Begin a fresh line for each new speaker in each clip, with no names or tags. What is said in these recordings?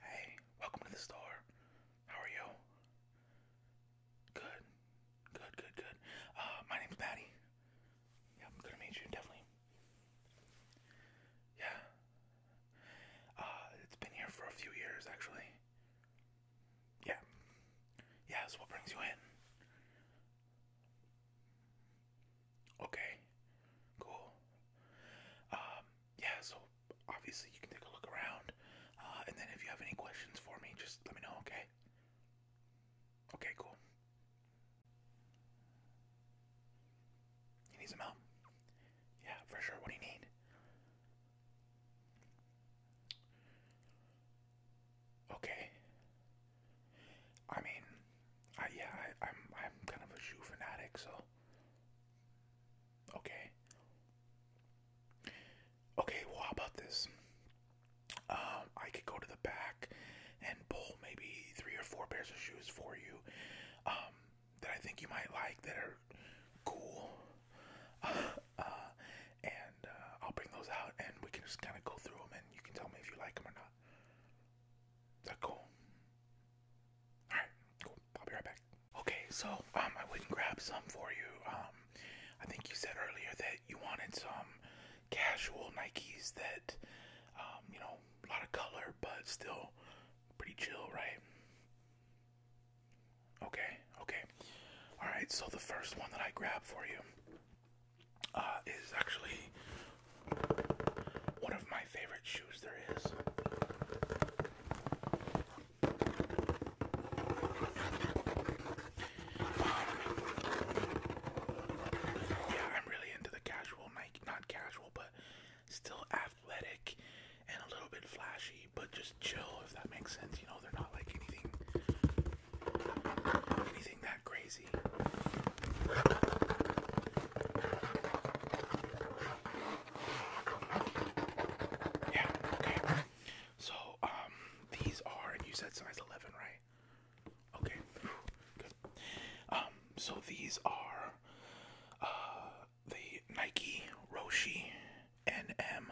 Hey, welcome to the store. How are you? Good. Good, good, good. Uh, my name's Maddie. Yeah, i to meet you, definitely. Yeah. Uh, it's been here for a few years, actually. Yeah. Yeah, that's what brings you in. Okay. Cool. Um, yeah, so obviously you can take a look around. Uh, and then if you have any questions for me, just let me know, okay? Okay, cool. You need help? Yeah, for sure. What do you need? Okay. I mean, I, yeah, I, I'm I'm kind of a shoe fanatic, so okay. Okay, well, how about this? Um, I could go to the back and pull maybe three or four pairs of shoes for you. Um, that I think you might like that are cool. Uh, uh, and uh, I'll bring those out and we can just kind of go through them and you can tell me if you like them or not. Is that cool? Alright, cool. I'll be right back. Okay, so um, I went and grabbed some for you. Um, I think you said earlier that you wanted some casual Nikes that, um, you know, a lot of color but still pretty chill, right? Okay, okay. Alright, so the first one that I grabbed for you uh, is actually one of my favorite shoes there is. Um, yeah, I'm really into the casual Nike, not casual, but still athletic and a little bit flashy, but just chill if that makes sense. You know, they're not like anything anything that crazy. Yeah, okay. So, um, these are, and you said size 11, right? Okay, good. Um, so these are uh, the Nike Roshi NM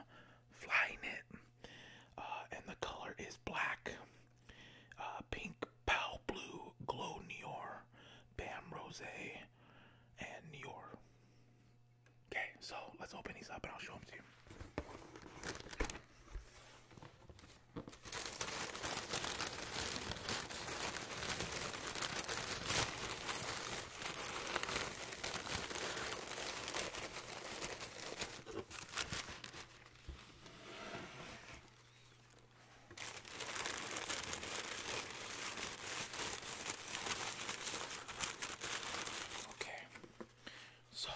Fly Knit, uh, and the color is black, uh, pink, pale blue, glow Nior, Bam Rose, and Nior. Okay, so let's open these up and I'll show them to you. Okay, so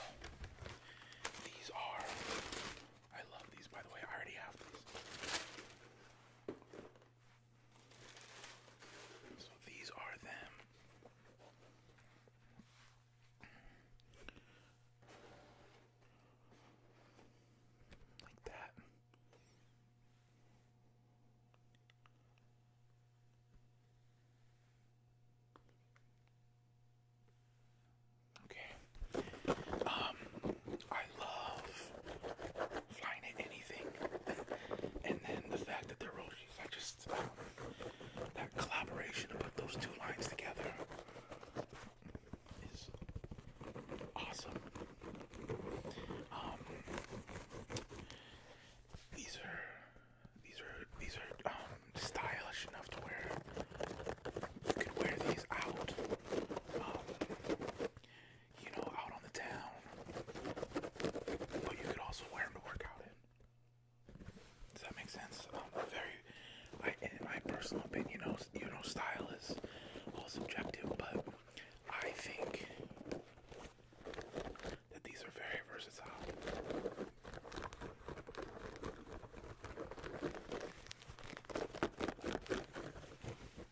these are. I love these, by the way. I already have these. So these are them. Like that. Okay. Um I love flying at anything. and then the fact that they're roadies, I just um, that collaboration to put those two lines together is awesome. Um, these are these are these are um, stylish enough to wear. You could wear these out you know, out on the town. But you could also wear them to work out in. Does that make sense? very, in my personal opinion, you know, you know, style is all subjective, but I think that these are very versatile. Yeah,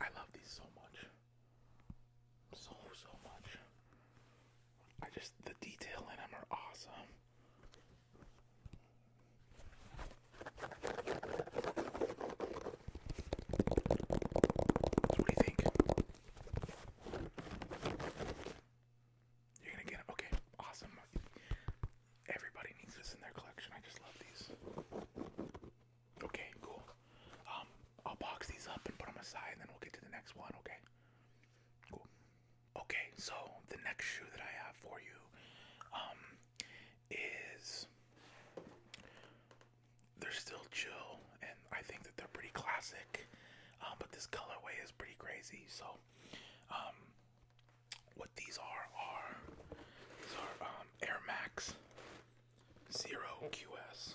I love these so much. So, so much. I just, the detail in them are awesome what do you think? You're gonna get it. Okay, awesome. Everybody needs this in their collection. I just love these. Okay, cool. Um, I'll box these up and put them aside, and then we'll get to the next one. Okay. Cool. Okay, so the next shoe that I have for you, um, is they're still chill, and I think that they're pretty classic. Um, but this colorway is pretty crazy. So, um, what these are are these are um, Air Max Zero QS.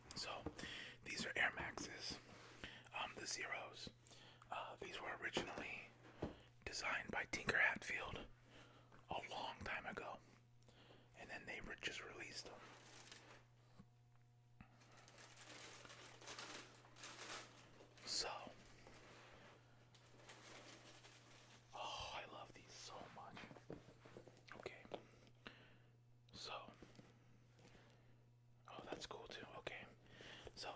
so these are Air Maxes, um, the Zeros. Uh, these were originally designed by Tinker Hatfield a long time ago, and then they were just released them. So, oh, I love these so much. Okay, so, oh, that's cool too. Okay, so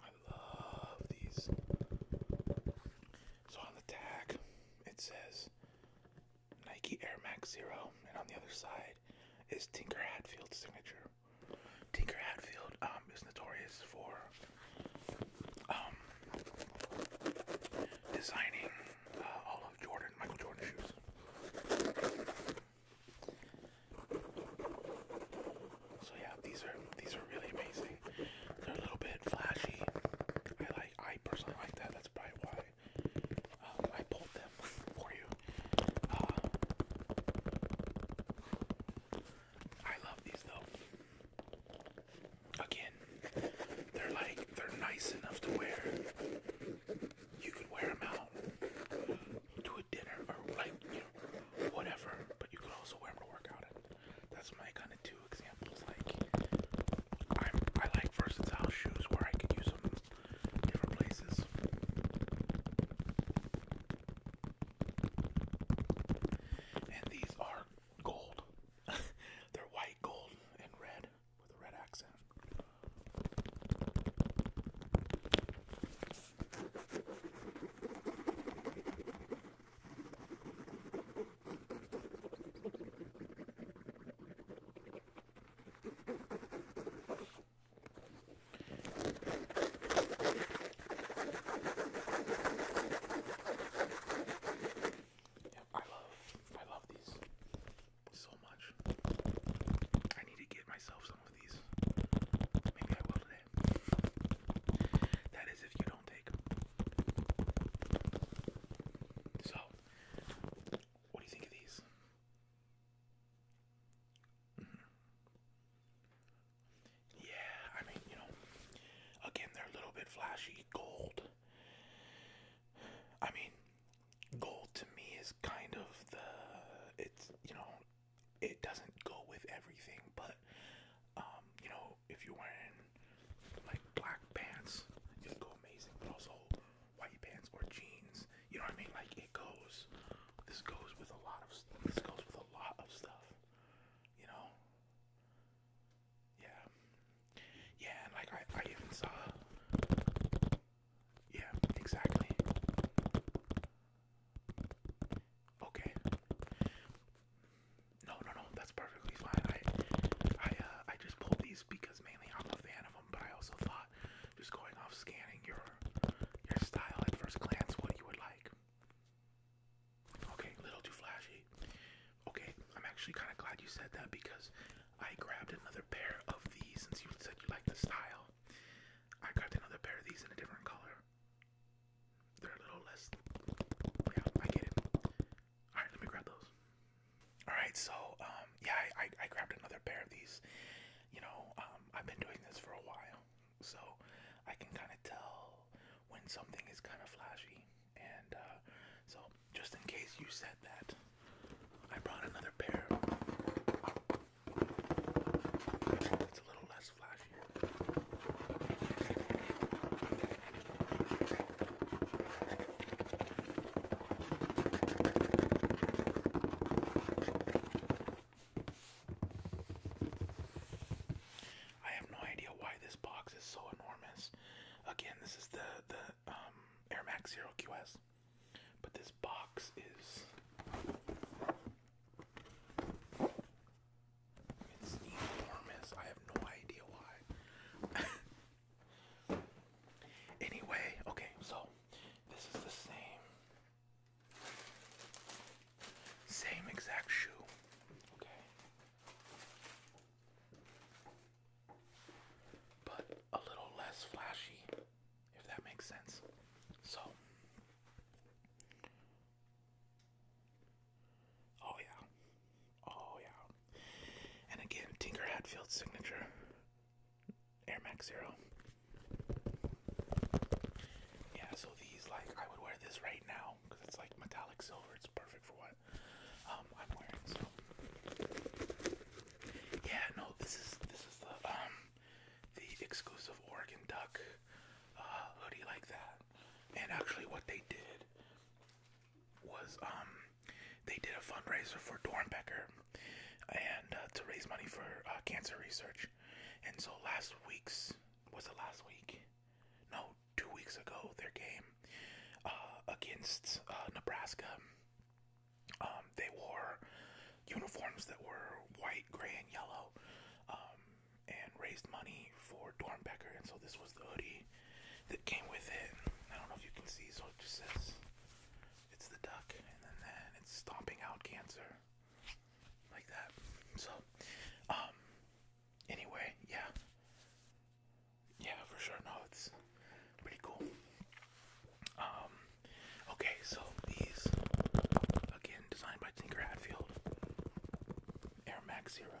I love these. So on the tag, it says Nike Air Max Zero, and on the other side is Tinker Hatfield's signature. Tinker Hatfield um, is notorious for um, designing uh, all of Jordan, Michael Jordan's shoes. So yeah, these are these are really amazing. They're a little bit flashy. I like. I personally like that. That's probably why um, I pulled them for you. Uh, I love these though. Again, they're like they're nice enough to wear. You could wear them out to a dinner or like you know, whatever, but you could also wear them to work out. That's my kind of two examples. Like I'm, I like versatile shoes where I could use them different different places. And these are gold. They're white, gold, and red with a red accent. Yep, I love I love these so much. I need to get myself some of these. Maybe I will today. That is if you don't take them. So, what do you think of these? Mm-hmm. Yeah, I mean, you know, again, they're a little bit flashy. Gold. I mean, gold to me is kind of the. It's, you know, it doesn't go with everything, but, um, you know, if you're wearing like black pants, it'll go amazing, but also white pants or jeans. You know what I mean? Like it goes. This goes with a lot of stuff. This goes with a lot of stuff. You know? Yeah. Yeah, and like I, I even saw. Yeah, exactly. Okay. No, no, no. That's perfectly fine. I, I, uh, I just pulled these because mainly I'm a fan of them, but I also thought just going off scanning your your style at first glance, what you would like. Okay, a little too flashy. Okay, I'm actually kind of glad you said that because I grabbed another pair of these since you said you like the style. I grabbed another pair of these in a different color. They're a little less. Yeah, I get it. Alright, let me grab those. All right, so um, yeah, I, I, grabbed another pair of these. You know, um, I've been doing this for a while, so I can kind of tell when something is kind of flashy. And uh, so, just in case you said that, I brought another pair. It's a little less flashy. I have no idea why this box is so enormous. Again, this is the the um, Air Max Zero QS, but this box is it's enormous. I have no idea why. Anyway, okay, so this is the same same exact shoe. Okay. But a little less flashy, if that makes sense. So Oh yeah. Oh yeah. And again, Tinker Hatfield's signature. Air Max Zero. Yeah, so these like I would wear this right now because it's like metallic silver. It's perfect for what um, I'm wearing. So yeah, no, this is this is the um the exclusive Oregon Duck uh, hoodie like that. And actually, what they did was um they did a fundraiser for Dornbecker and uh, to raise money for uh, cancer research. And so last week's was the last week? No, two weeks ago their game uh, against Nebraska. Um, they wore uniforms that were white, gray, and yellow, um, and raised money for Dornbecker. And so this was the hoodie that came with it. I don't know if you can see, so it says it's the duck, and then, it's stomping out cancer, like that. So, um, anyway, yeah, yeah, for sure. No, it's pretty cool. Um, okay, so these again designed by Tinker Hatfield, Air Max Zeros.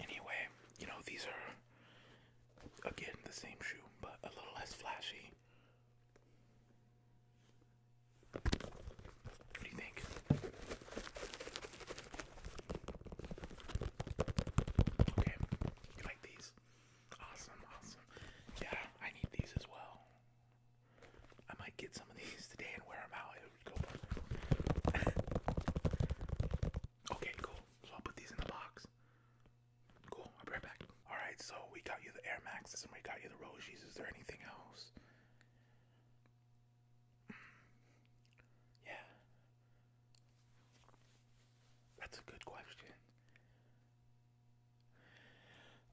Anyway, you know, these are again the same shoe, but a little less flashy. What do you think? Okay, you like these? Awesome, awesome. Yeah, I need these as well. I might get some of these today and wear them out okay, cool. So I'll put these in the box. Cool, I'll be right back. Alright, so we got you the Air Maxes and we got you the Rojis. Is there anything else? Yeah. That's a good question.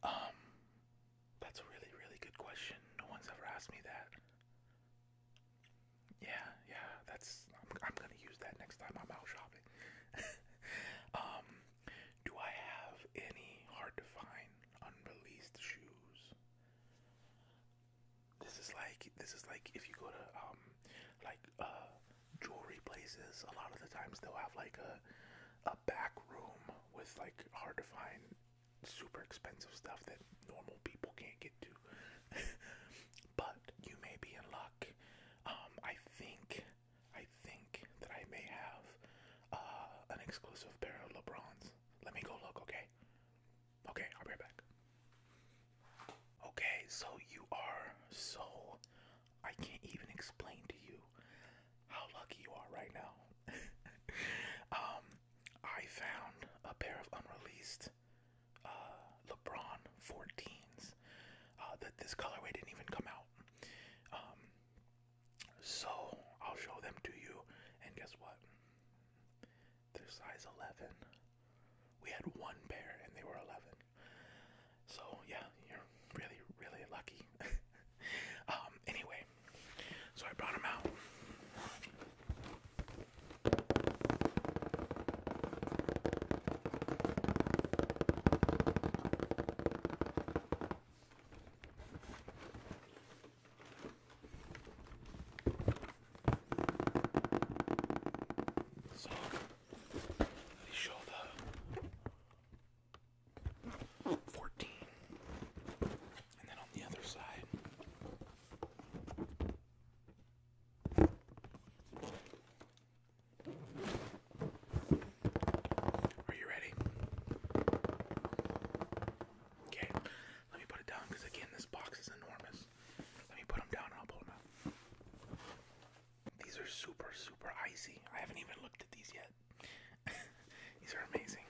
Um, that's a really, really good question. No one's ever asked me that. Yeah, yeah, that's I'm, gonna use that next time I'm out shopping. um, do I have any hard to find unreleased shoes? This is like this is like if you go to um like uh jewelry places, a lot of the times they'll have like a a back room with like hard to find super expensive stuff that normal people can't get to. but you may be in luck. Um, I think, I think that I may have uh, an exclusive pair of LeBrons. Let me go look, okay? Okay, I'll be right back. Okay, so you are so. I can't even explain to you how lucky you are right now. um, I found a pair of unreleased uh, LeBron 14s uh, that this colorway didn't even come out. Um, so I'll show them to you, and guess what? They're size 11. We had one pair, and they were 11. So yeah, you're really, really lucky. Um, anyway, so I brought him out. So let me show fourteen. And then on the other side, are you ready? Okay, let me put it down because again, this box is enormous. Let me put them down I'll pull them out. These are super, super icy. I haven't even looked at these yet. these are amazing.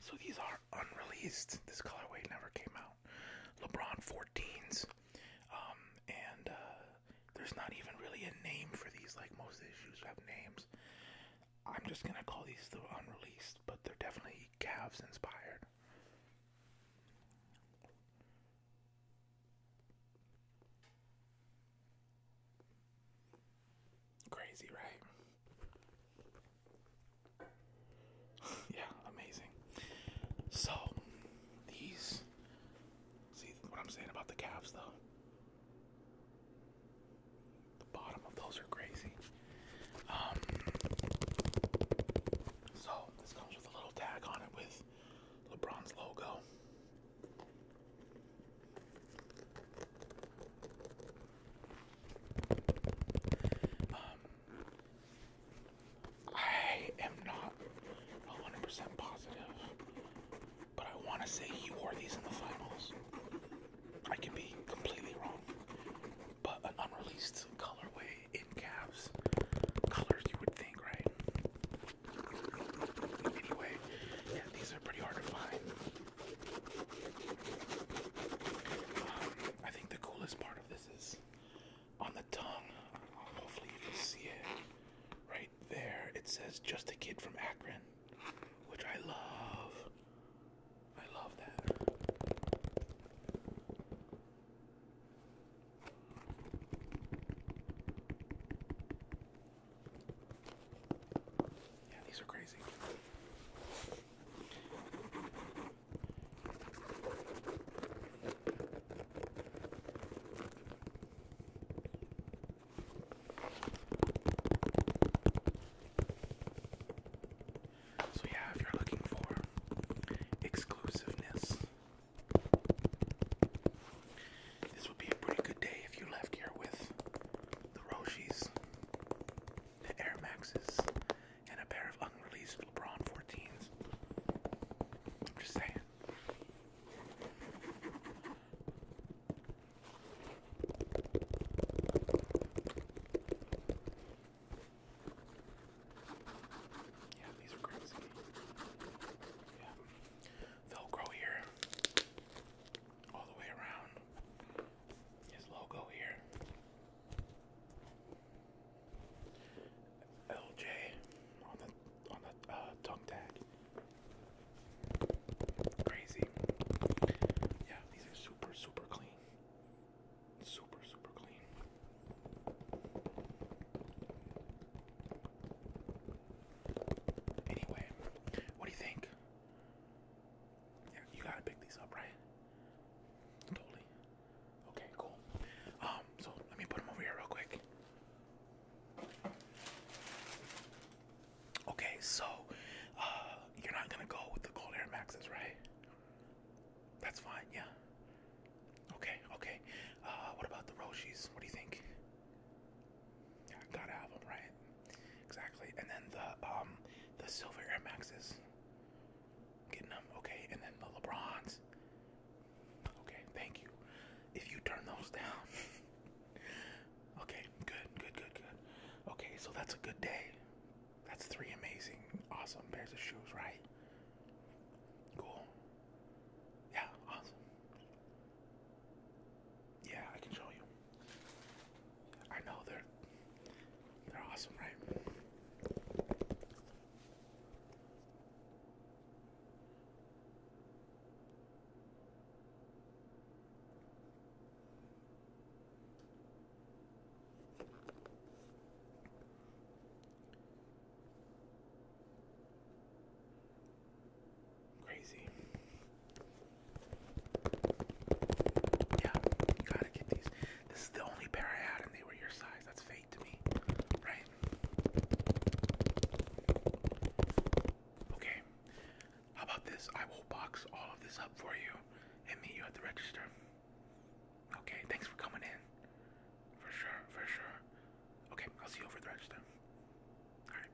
So, these are unreleased. This colorway never came out. LeBron 14s, um, and uh, there's not even really a name for these. Like most issues have names. I'm just gonna call these the unreleased, but they're definitely Cavs inspired. Crazy, right? yeah, amazing. So these see what I'm saying about the calves though. The bottom of those are crazy. Um, so this comes with a little tag on it with LeBron's logo. Um, I am not 100% positive, but I want to say he wore these in the finals. I could be completely wrong, but an unreleased colorway in Cavs colors you would think, right? Anyway, yeah, these are pretty hard to find. I think the coolest part of this is on the tongue. Hopefully, you can see it right there. It says "Just a Kid from Akron," which I love. I love that these are crazy. So, yeah, if you're looking for exclusiveness, this would be a pretty good day if you left here with the Roshis. Air Maxes, and a pair of unreleased LeBron 14s. I'm just saying. Yeah, these are crazy. Yeah. Velcro here all the way around his logo here. LJ on the on the uh, tongue tag. Crazy. Yeah, these are super super clean. Super super clean. Anyway, what do you think? Yeah, you gotta pick these up, right? Totally. Okay, cool. Um, so let me put them over here real quick. Okay, so uh, you're not gonna go with the gold air maxes, right? That's fine, yeah. Okay, okay. Uh, what about the Roshis? What do you think? Yeah, gotta have them, right? exactly. And then the um the silver Air Maxes, getting them okay. And then the LeBrons. Okay, thank you. If you turn those down, okay, good, good, good, good. Okay, so that's a good day. That's three amazing, awesome pairs of shoes, right? Cool. Yeah, awesome. Yeah, I can show you. I know they're they're awesome, right? Crazy. Yeah, you gotta get these. This is the only pair I had, and they were your size. That's fate to me, right? Okay, how about this? I will box all of this up for you and meet you at the register. Okay, thanks for coming in. For sure, for sure. Okay, I'll see you over the register. Alright.